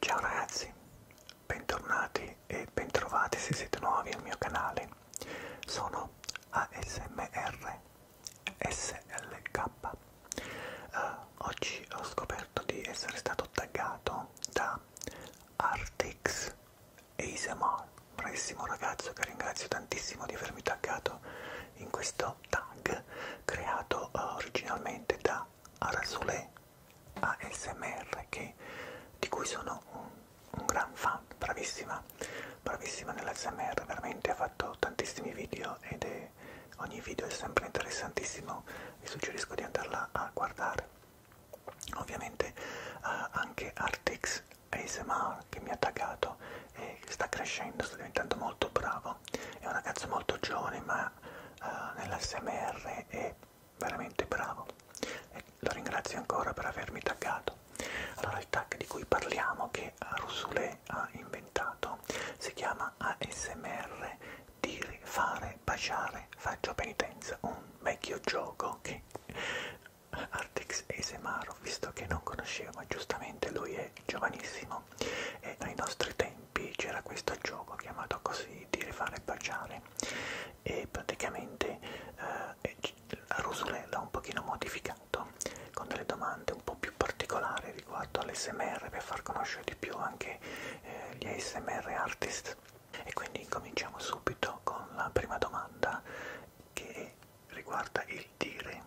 Ciao ragazzi, bentornati e bentrovati se siete nuovi al mio canale. Sono ASMR SLK. Uh, eh, oggi ho scoperto di essere stato taggato da Artix ASMR bravissimo ragazzo che ringrazio tantissimo di avermi taggato in questo tag creato eh, originalmente da Arasulé ASMR che, di cui sono un, un gran fan, bravissima, bravissima nell'ASMR, veramente ha fatto tantissimi video ed è, ogni video è sempre interessantissimo, vi suggerisco di andarla a guardare. Ovviamente eh, anche Artix ASMR che mi ha attaccato e sta crescendo, sta diventando molto bravo. È un ragazzo molto giovane ma uh, eh, nell'ASMR è veramente bravo. E lo ringrazio ancora per avermi taggato. Allora il tag di cui parliamo che Rusule ha inventato si chiama ASMR dire, fare, baciare, faccio penitenza, un vecchio gioco che Artex Esemaro, visto che non conoscevo, ma giustamente lui è giovanissimo e ai nostri tempi c'era questo gioco chiamato così di rifare e baciare e praticamente eh, la Rusulella un pochino modificato con delle domande un po' più particolari riguardo all'SMR per far conoscere di più anche eh, gli ASMR artist e quindi cominciamo subito con la prima domanda che è riguarda il dire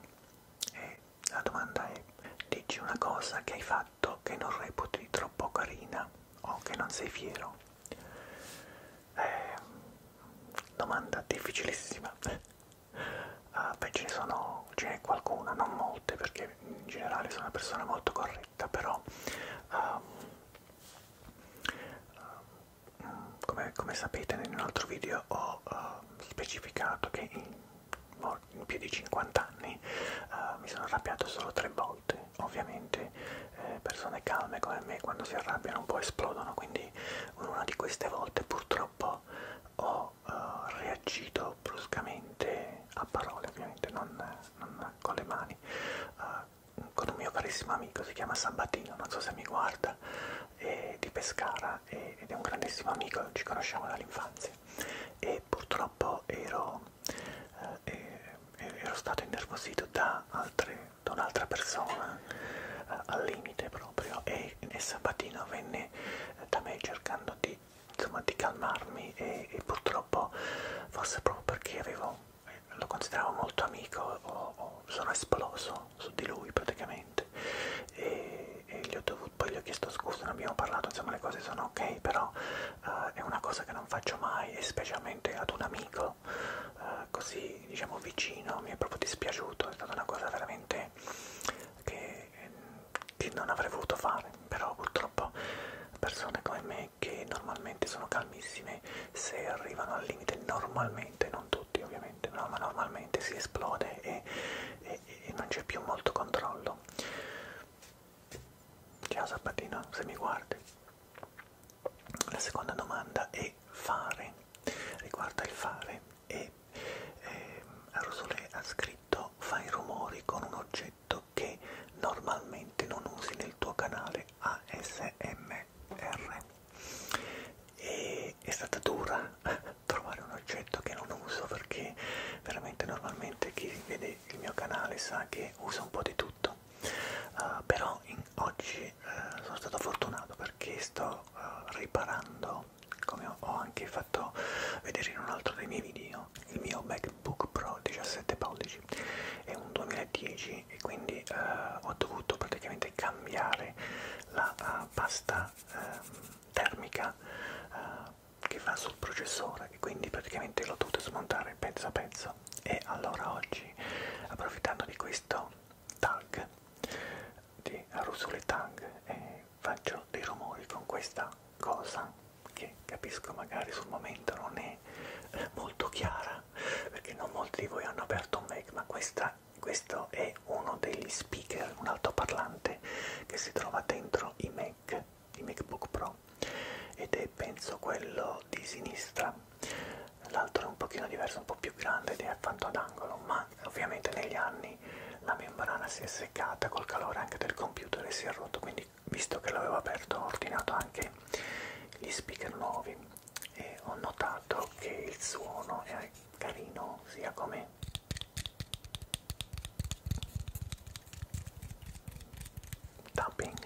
e la domanda è dici una cosa che hai fatto che non reputi troppo carina o che non sei fiero eh, domanda difficilissima ah, beh ce ne sono ce n'è qualcuna non molte perché in generale sono una persona molto corretta però um, come, come sapete in un altro video ho uh, specificato che in, in più di 50 anni uh, mi sono arrabbiato solo tre volte. Ovviamente eh, persone calme come me quando si arrabbiano un po' esplodono, quindi una di queste volte purtroppo ho uh, reagito bruscamente a parole, ovviamente non, non con le mani. Uh, con un mio carissimo amico, si chiama Sabatino, non so se mi guarda Garda eh, di Pescara eh, ed è un grandissimo amico, ci conosciamo dall'infanzia e purtroppo ero, eh, ero stato innervosito da, altre, da un'altra persona eh, al limite proprio e, e Sabatino venne eh, da me cercando di, insomma, di calmarmi e, e purtroppo forse proprio perché avevo eh, lo consideravo molto amico, o, o sono esploso no, su di lui praticamente e, e gli ho dovuto, poi gli ho chiesto scusa, non abbiamo parlato, insomma le cose sono ok, però uh, è una cosa che non faccio mai e specialmente ad un amico uh, così diciamo vicino, mi è proprio dispiaciuto, è stata una cosa veramente che, che non avrei voluto fare, però purtroppo persone come me che normalmente sono calmissime se arrivano al limite, normalmente non tutti ovviamente normalmente, no? ma normalmente si esplode e, e, e non c'è più molto controllo. Ciao Sabatino, se mi guardi. La seconda domanda è fare, riguarda il fare e eh, Rosole ha scritto fai rumori con un oggetto che normalmente non usi nel tuo canale ASMR e è stata dura trovare un oggetto che non uso perché veramente normalmente chi vede il mio canale sa che uso un po' di tutto uh, però in, oggi uh, sono stato fortunato perché sto uh, riparando come ho, ho anche fatto vedere in un altro dei miei video il mio MacBook Pro 17 pollici è un 2010 soldi e quindi eh, ho dovuto praticamente cambiare la uh, pasta eh, termica eh, che va sul processore e quindi praticamente l'ho dovuto smontare pezzo a pezzo e allora oggi approfittando di questo tag di Rusule Tag eh, faccio dei rumori con questa cosa che capisco magari sul momento non è eh, molto chiara perché non molti di voi hanno aperto un Mac ma questa questo è uno degli speaker, un altoparlante che si trova dentro i Mac, i MacBook Pro ed è penso quello di sinistra, l'altro è un pochino diverso, un po' più grande ed è fatto ad angolo, ma ovviamente negli anni la membrana si è seccata col calore anche del computer e si è rotto, quindi visto che l'avevo aperto ho ordinato anche gli speaker nuovi e ho notato che il suono è carino sia come tapping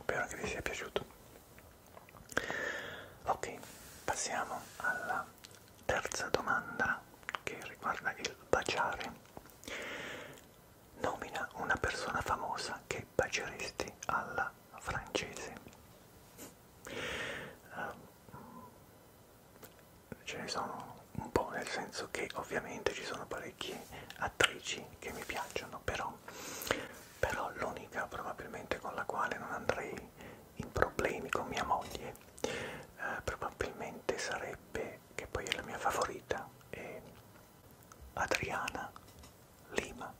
Spero che vi sia piaciuto. Ok, passiamo alla terza domanda che riguarda il baciare. Nomina una persona famosa che dei paceristi alla francese. Ehm, ce ne sono un po', nel senso che ovviamente ci sono parecchie attrici che mi piacciono, però, però l'unica probabilmente con la quale non andrei in problemi con mia moglie eh, probabilmente sarebbe, che poi è la mia favorita, è Adriana Lima,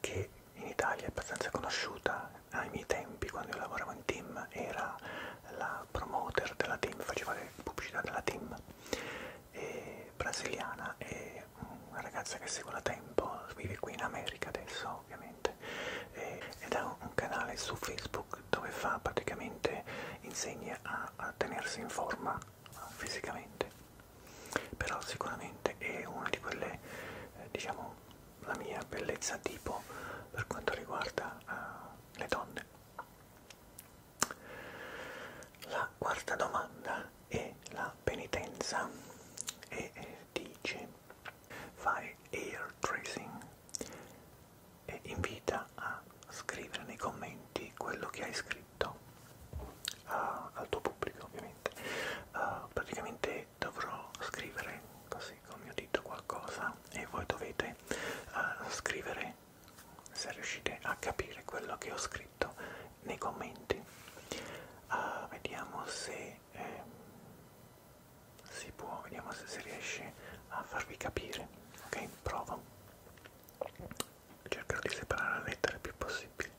che in Italia è abbastanza conosciuta, ai miei tempi quando io lavoravo in team era la promoter della team, faceva le pubblicità della team, e brasiliana e una ragazza che seguo da tempo, vive qui in America adesso ovviamente, e, ed ha un canale su Facebook dove fa praticamente insegna a, a tenersi in forma fisicamente però sicuramente è una di quelle eh, diciamo la mia bellezza tipo per quanto riguarda eh, le donne la quarta domanda è la penitenza e eh, dice fai air tracing e invita a scrivere nei commenti quello che hai scritto uh, al tuo pubblico ovviamente uh, praticamente dovrò scrivere così con mio dito qualcosa e voi dovete uh, scrivere se riuscite a capire quello che ho scritto nei commenti uh, vediamo se eh, si può vediamo se si riesce a farvi capire ok provo cercherò di separare le lettere il più possibile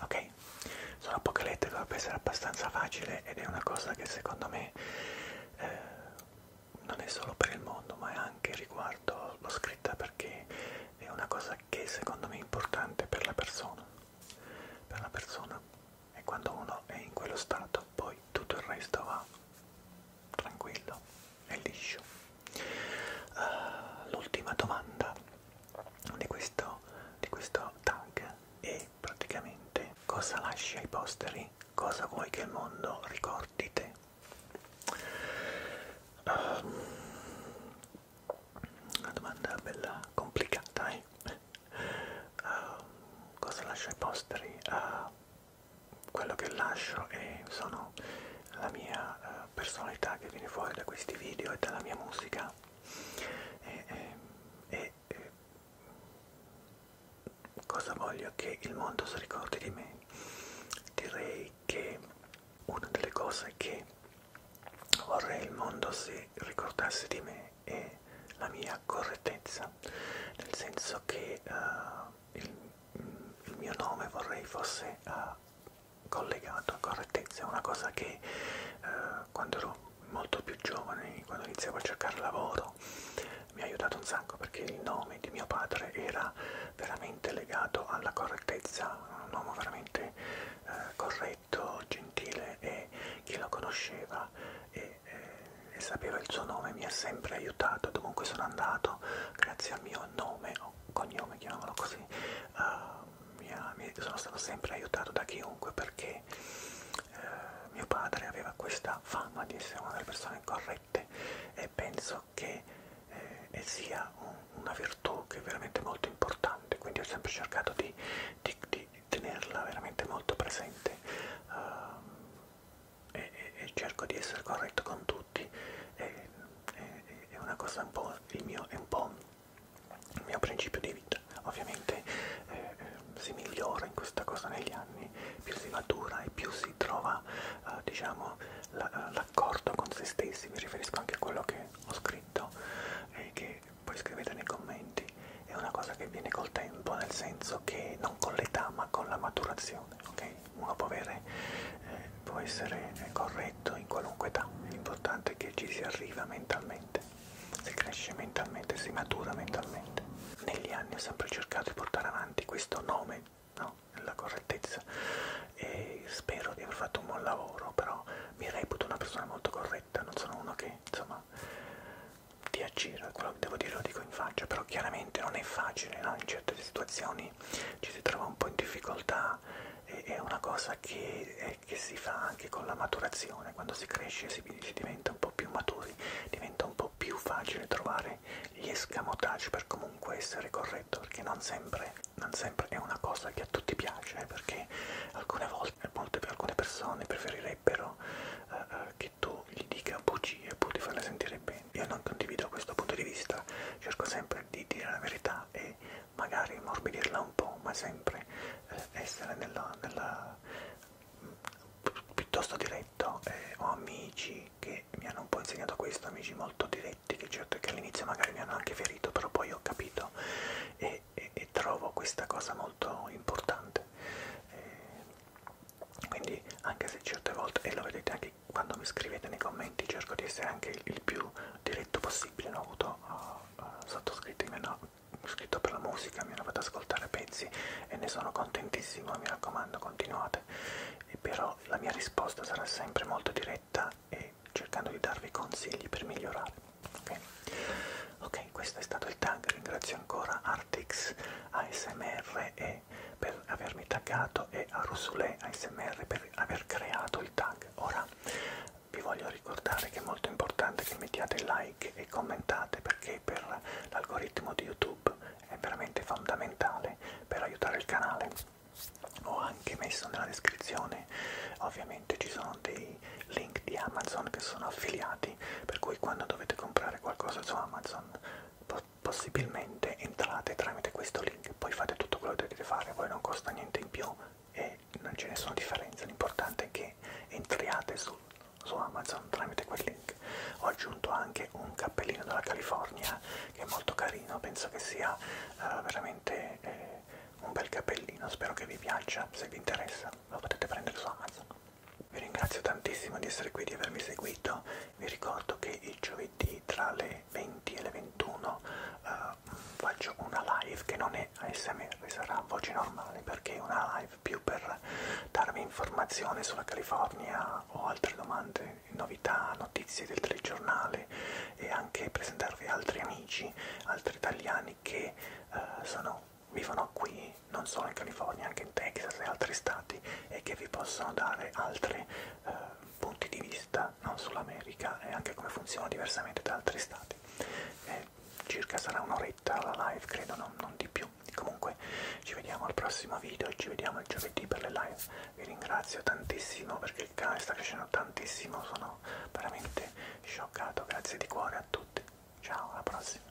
ok sono poche lettere dovrebbe essere abbastanza facile ed è una cosa che secondo me eh, non è solo per il mondo ma è anche riguardo l'ho scritta perché è una cosa che secondo me è importante per la persona per la persona e quando uno è in quello stato poi tutto il resto va tranquillo e liscio uh, l'ultima domanda di questo, di questo tag e praticamente cosa lasci ai posteri, cosa vuoi che il mondo ricordi te. Um, una domanda bella complicata, eh? Uh, cosa lascio ai posteri? Uh, quello che lascio è, sono la mia uh, personalità che viene fuori da questi video e dalla mia musica e, e, e cosa voglio che il mondo si ricordi di me direi che una delle cose che vorrei il mondo si ricordasse di me è la mia correttezza nel senso che uh, il, il mio nome vorrei fosse uh, collegato a correttezza, è una cosa che eh, quando ero molto più giovane, quando iniziavo a cercare lavoro, mi ha aiutato un sacco perché il nome di mio padre era veramente legato alla correttezza, un uomo veramente eh, corretto, gentile e chi lo conosceva e, e, eh, e sapeva il suo nome mi ha sempre aiutato, dovunque sono andato, grazie al mio nome o cognome, chiamiamolo così, uh, mia, sono stato sempre aiutato da chiunque perché eh, mio padre aveva questa fama di essere una delle persone corrette e penso che eh, sia un, una virtù che è veramente molto importante, quindi ho sempre cercato di, di, di tenerla veramente molto presente uh, e, e, e cerco di essere corretto con tutti, e, è una cosa un po' il mio, è un po' il mio principio di vita. Ovviamente eh, eh, si migliora in questa cosa negli anni, più si matura e più si trova eh, diciamo, l'accordo la, con se stessi. Mi riferisco anche a quello che ho scritto e eh, che poi scrivete nei commenti. È una cosa che viene col tempo, nel senso che non con l'età ma con la maturazione. ok? Uno può avere, eh, può essere eh, corretto perfetto in qualunque età, l'importante è che ci si arriva mentalmente, si cresce mentalmente, si matura mentalmente. Negli anni ho sempre cercato di portare avanti questo nome, no? La correttezza e spero di aver fatto un buon lavoro, però mi reputo una persona molto corretta, non sono uno che insomma ti aggira, quello che devo dire lo dico in faccia, però chiaramente non è facile, no? in certe situazioni ci si trova un po' in difficoltà, è una cosa che e che si fa anche con la maturazione, quando si cresce si, si diventa un po' più maturi, diventa un po' più facile trovare gli escamotage per comunque essere corretto, perché non sempre, non sempre è una cosa che a tutti piace, perché alcune volte molte, alcune persone preferirebbero uh, uh, che tu gli dica bugie pur di farle sentire bene. Io non condivido questo punto di vista, cerco sempre di dire la verità e magari morbidirla un po', ma sempre eh, essere nella, nella mm, piuttosto diretto, eh, ho amici che mi hanno un po' insegnato questo, amici molto diretti, che certo che all'inizio magari mi hanno anche ferito, però poi ho capito e, e, e trovo questa cosa molto importante. Eh, quindi anche se certe volte, e lo vedete anche quando mi scrivete nei commenti, cerco di essere anche il, il più diretto possibile, non ho avuto... Oh, eh, sottoscritto mi hanno scritto per la musica, mi hanno fatto ascoltare pezzi e ne sono contentissimo, mi raccomando continuate. E però la mia risposta sarà sempre molto diretta e cercando di darvi consigli per migliorare. Ok, okay questo è stato il tag, ringrazio ancora Artix ASMR e per avermi taggato e a Rusule ASMR per aver creato il tag. Ora vi voglio ricordare che è molto importante che mettiate like e commentate perché per l'algoritmo di YouTube è veramente fondamentale per aiutare il canale. Ho anche messo nella descrizione, ovviamente ci sono dei link di Amazon che sono affiliati, per cui quando dovete comprare qualcosa su Amazon possibilmente entrate tramite questo link, poi fate tutto quello che dovete fare, poi non costa niente in più, e non c'è nessuna differenza, l'importante è che entriate su, su Amazon tramite quel link. Ho aggiunto anche un cappellino della California che è molto carino, penso che sia uh, veramente eh, un bel cappellino, spero che vi piaccia, se vi interessa lo potete prendere su Amazon. Vi ringrazio tantissimo di essere qui, di avermi seguito, vi ricordo che il giovedì tra le 20 e le 21 uh, eh, una, faccio una live che non è ASMR, sarà voce normale perché è una live più per darvi informazione sulla California o altre domande, novità, notizie del telegiornale e anche presentarvi altri amici, altri italiani che eh, sono, vivono qui, non solo in California, anche in Texas e altri stati e che vi possono dare altre... Eh, punti di vista, non sull'America e anche come funziona diversamente da altri stati. E circa sarà un'oretta la live, credo, non, non di più. Comunque ci vediamo al prossimo video, ci vediamo il giovedì per le live. Vi ringrazio tantissimo perché il canale sta crescendo tantissimo, sono veramente scioccato. Grazie di cuore a tutti. Ciao, alla prossima.